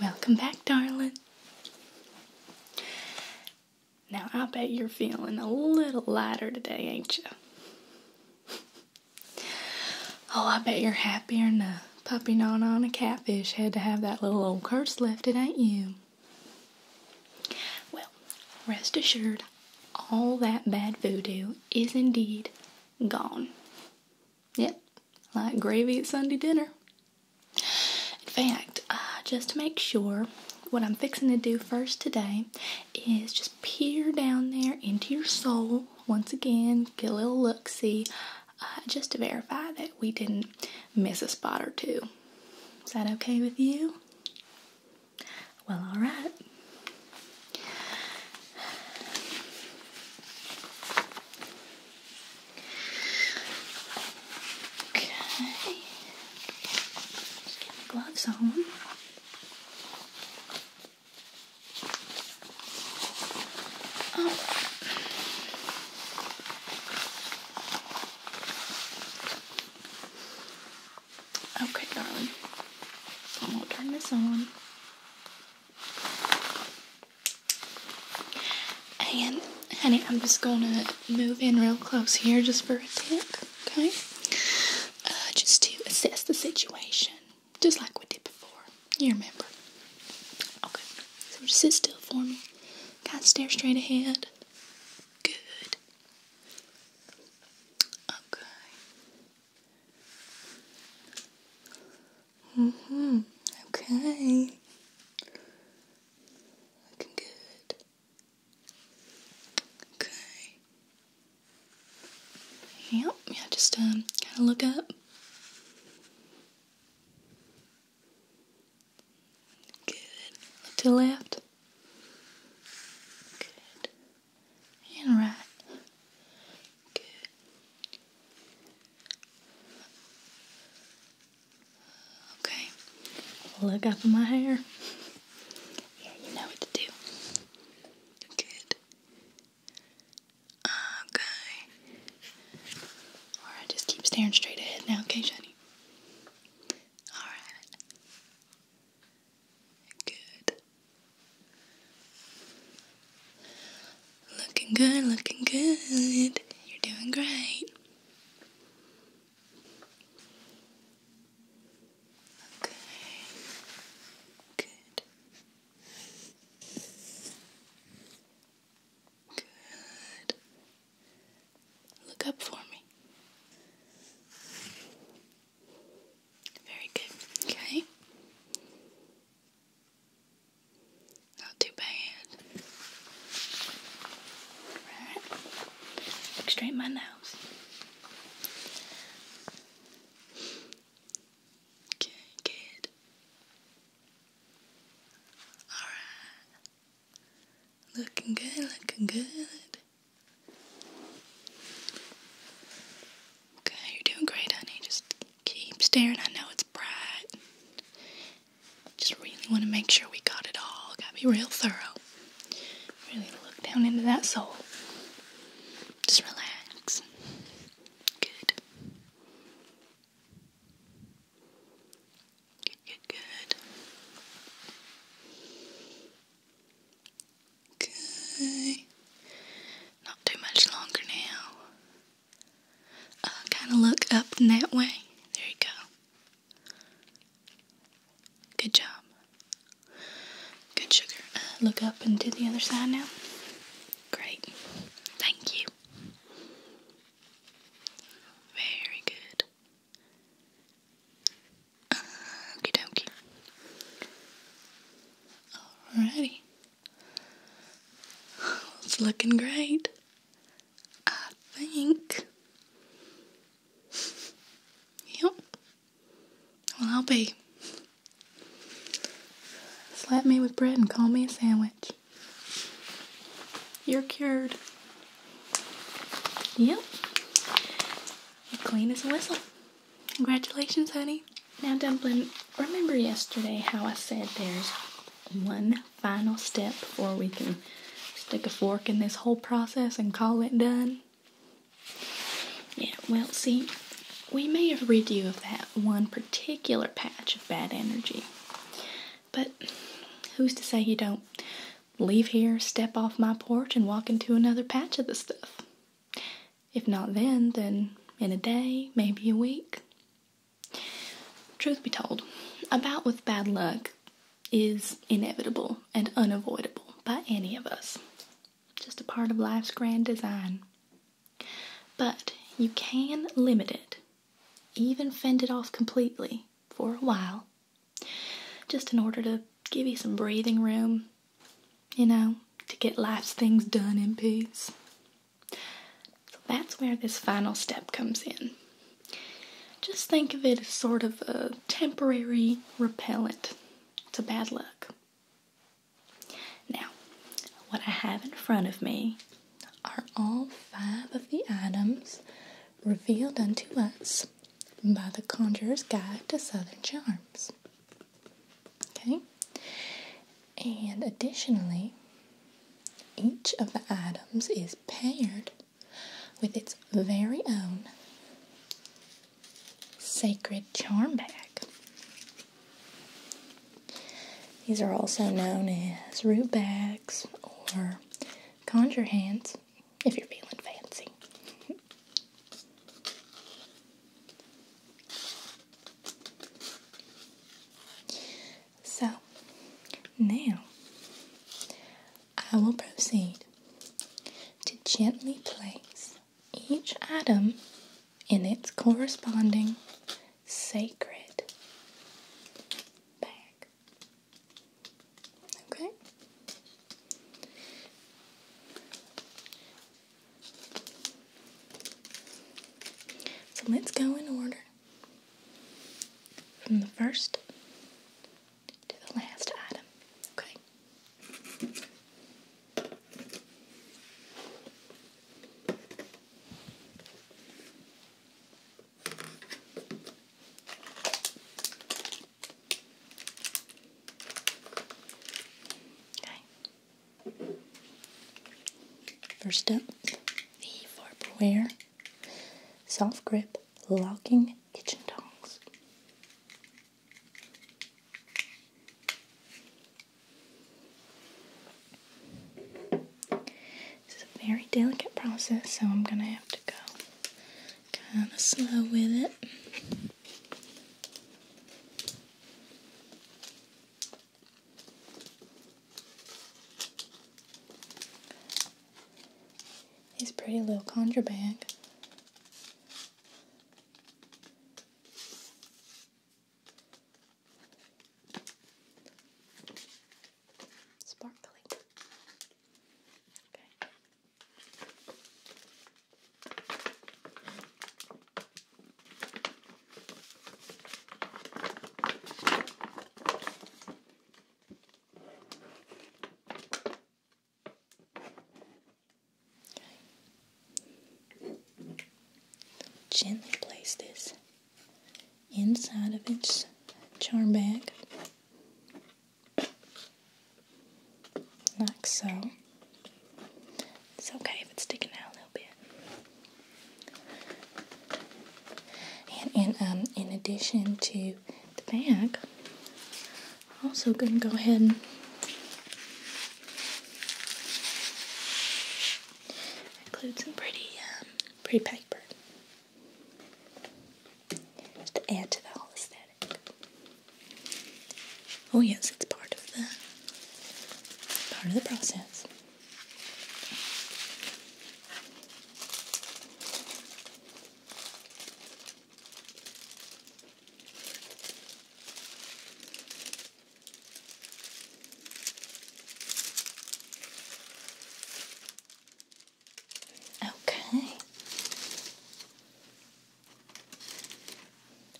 Welcome back, darling. Now, I bet you're feeling a little lighter today, ain't you? Oh, I bet you're happier than a puppy non on a catfish had to have that little old curse lifted, ain't you? Well, rest assured, all that bad voodoo is indeed gone. Yep, like gravy at Sunday dinner. In fact, uh, just to make sure, what I'm fixing to do first today is just peer down there into your soul once again, get a little look see, uh, just to verify that we didn't miss a spot or two. Is that okay with you? Well, alright. Okay. Just get my gloves on. Oh. okay, darling. I'm gonna turn this on. And, honey, I'm just gonna move in real close here just for a tick okay? Uh, just to assess the situation, just like we did before. You remember. Okay, so just sit still for me. Kind of stare straight ahead. Good. Okay. hmm. Okay. Looking good. Okay. Yep, yeah, just um, kind of look up. Good. to the left. Good. And right. Good. Okay. Look up in my hair. Yeah, you know what to do. Good. Okay. Alright, just keep staring straight ahead now, okay, Shani? Alright. Good. Looking good, looking good. You're doing great. Okay. Good. Good. Look up for me. Very good. Okay. Not too bad. Alright. Look my nose. Okay, good. Alright. Looking good, looking good. Okay, you're doing great, honey. Just keep staring. I know it's bright. Just really want to make sure we got it all. Gotta be real thorough. Really look down into that soul. Just relax. Good. Good, good, good. Not too much longer now. Uh, kind of look up in that way. There you go. Good job. Good sugar. Uh, look up and to the other side now. Great. Thank you. Very good. Okie dokie. Alrighty. It's looking great. I think Yep. Well, I'll be. Slap me with bread and call me a sandwich. You're cured. Yep. clean as a whistle. Congratulations, honey. Now, Dumpling, remember yesterday how I said there's one final step before we can stick a fork in this whole process and call it done. Yeah, well, see, we may have rid you of that one particular patch of bad energy. But who's to say you don't leave here, step off my porch, and walk into another patch of the stuff? If not then, then in a day, maybe a week. Truth be told, about with bad luck, is inevitable and unavoidable by any of us. Just a part of life's grand design. But you can limit it, even fend it off completely for a while, just in order to give you some breathing room, you know, to get life's things done in peace. So that's where this final step comes in. Just think of it as sort of a temporary repellent to bad luck. Now, what I have in front of me are all five of the items revealed unto us by the Conjurer's Guide to Southern Charms. Okay? And additionally, each of the items is paired with its very own sacred charm bag. These are also known as root bags or conjure hands if you're feeling fancy. So now I will proceed to gently place each item in its corresponding sacred bag. Okay? So let's go in order from the first to the last item. Okay. Okay. First up, the Farberware Soft grip locking kitchen tongs. This is a very delicate process, so I'm gonna have to go kind of slow with it. His pretty little conjure bag. Sparkly. Okay. Gently place this inside of its charm bag, like so. It's okay if it's sticking out a little bit. And, um, in addition to the bag, I'm also going to go ahead and include some pretty, um, pretty paper. Just to add to the whole aesthetic. Oh yes, it's part of the part of the process. Okay.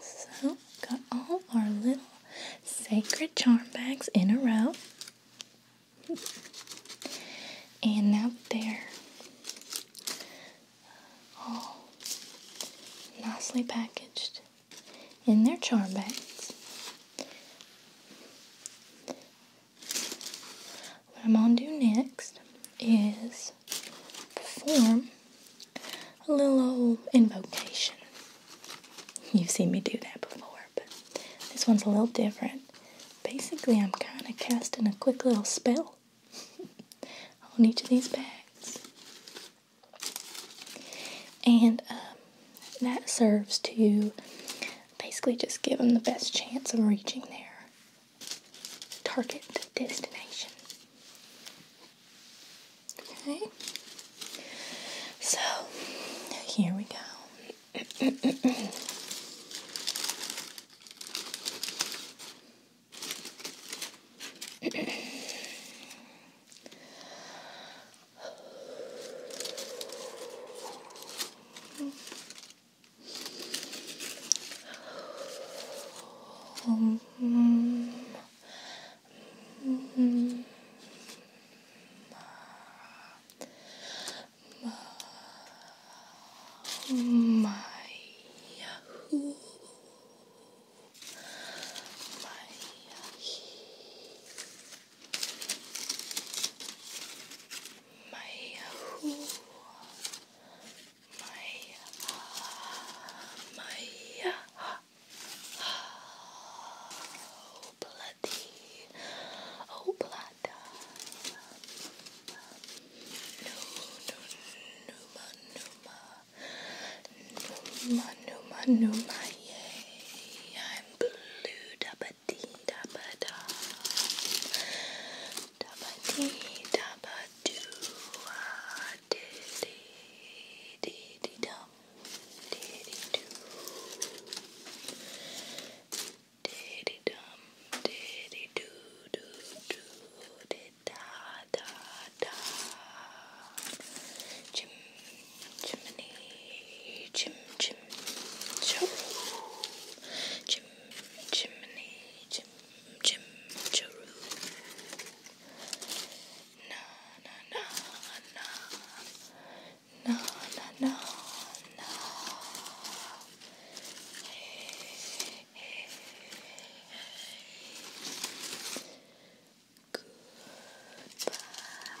So, got all our little sacred charm bags in a row. And now they're all nicely packaged in their charm bags. What I'm going to do next is perform a little invocation. You've seen me do that before but this one's a little different. Basically, I'm kind of casting a quick little spell on each of these bags. And um, that serves to basically just give them the best chance of reaching their target destination. Okay. So here we go. Um, Mm -hmm. My Yahoo. My Yahoo. My Oh, bloody. Oh, blood. numa, numa. Numa, numa, numa, yay. I'm blue, dabba dee, dabba da. Dabba dee, dabba doo. Dee, dee, dee, dee, dum. Diddy do. Diddy dum. Diddy do do do. Did da da da. Chim chimney. Chim chim. Choo. Chim chimney. Chim chim. Choo no, no, no, no, no, no. Hey, hey, hey. Goodbye. Oh.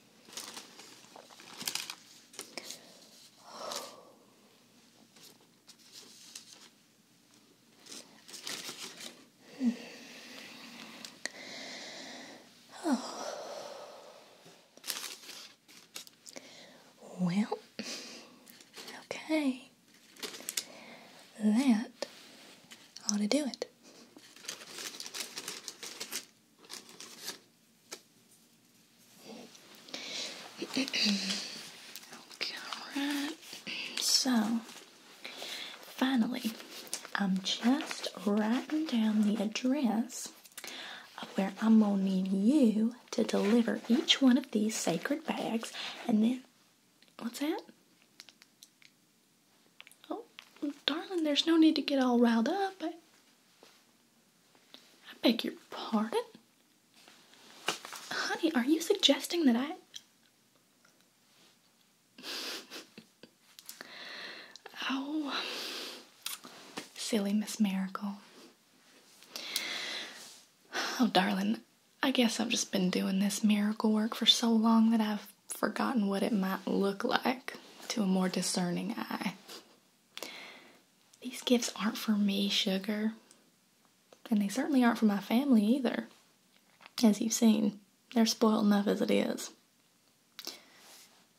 Well, okay. That ought to do it okay, alright. Oh, so, finally, I'm just writing down the address of where I'm going to need you to deliver each one of these sacred bags and then. What's that? Oh, darling, there's no need to get all riled up. I, beg your pardon? Honey, are you suggesting that I. oh, silly Miss Miracle. Oh, darling, I guess I've just been doing this miracle work for so long that I've forgotten what it might look like to a more discerning eye. These gifts aren't for me, sugar. And they certainly aren't for my family either. As you've seen, they're spoiled enough as it is.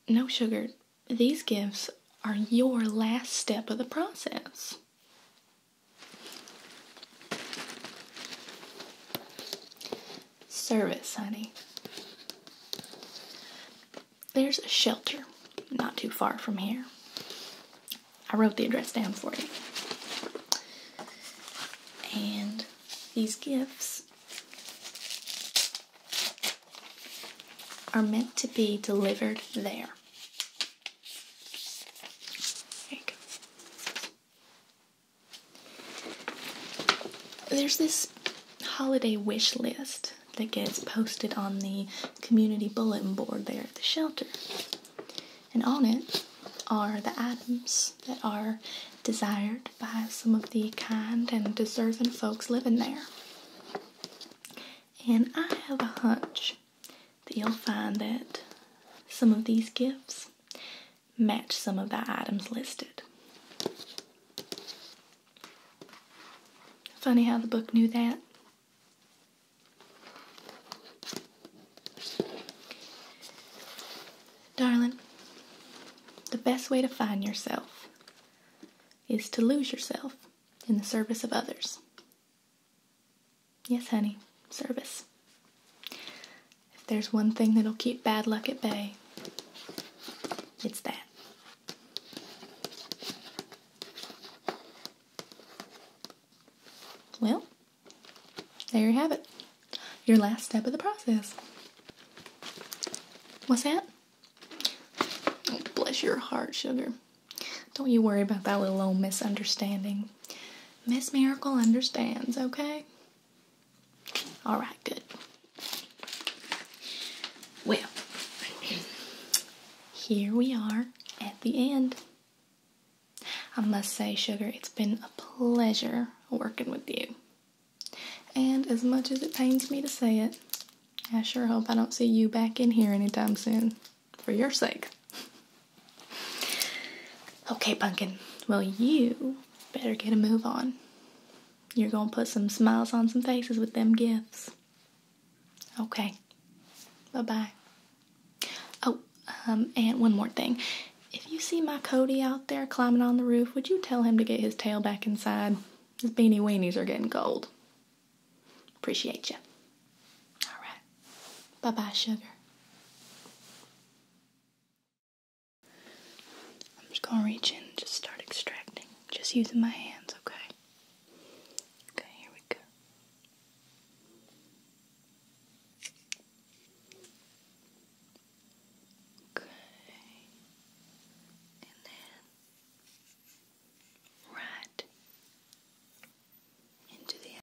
No, sugar, these gifts are your last step of the process service, honey. There's a shelter not too far from here. I wrote the address down for you. And these gifts are meant to be delivered there. there there's this holiday wish list that gets posted on the community bulletin board there at the shelter. And on it are the items that are desired by some of the kind and deserving folks living there. And I have a hunch that you'll find that some of these gifts match some of the items listed. Funny how the book knew that. Darling, the best way to find yourself is to lose yourself in the service of others. Yes, honey, service. If there's one thing that'll keep bad luck at bay, it's that. Well, there you have it. Your last step of the process. What's that? Oh, bless your heart, sugar. Don't you worry about that little old misunderstanding. Miss Miracle understands, okay? All right, good. Well, here we are at the end. I must say, Sugar, it's been a pleasure working with you. And as much as it pains me to say it, I sure hope I don't see you back in here anytime soon. For your sake. Okay, Pumpkin. Well, you better get a move on. You're going to put some smiles on some faces with them gifts. Okay. Bye bye. Oh, um, and one more thing. If you see my Cody out there climbing on the roof, would you tell him to get his tail back inside? His beanie weenies are getting cold. Appreciate you. All right. Bye bye, sugar. I'm just gonna reach in and just start extracting. Just using my hands, okay? Okay, here we go. Okay. And then right into the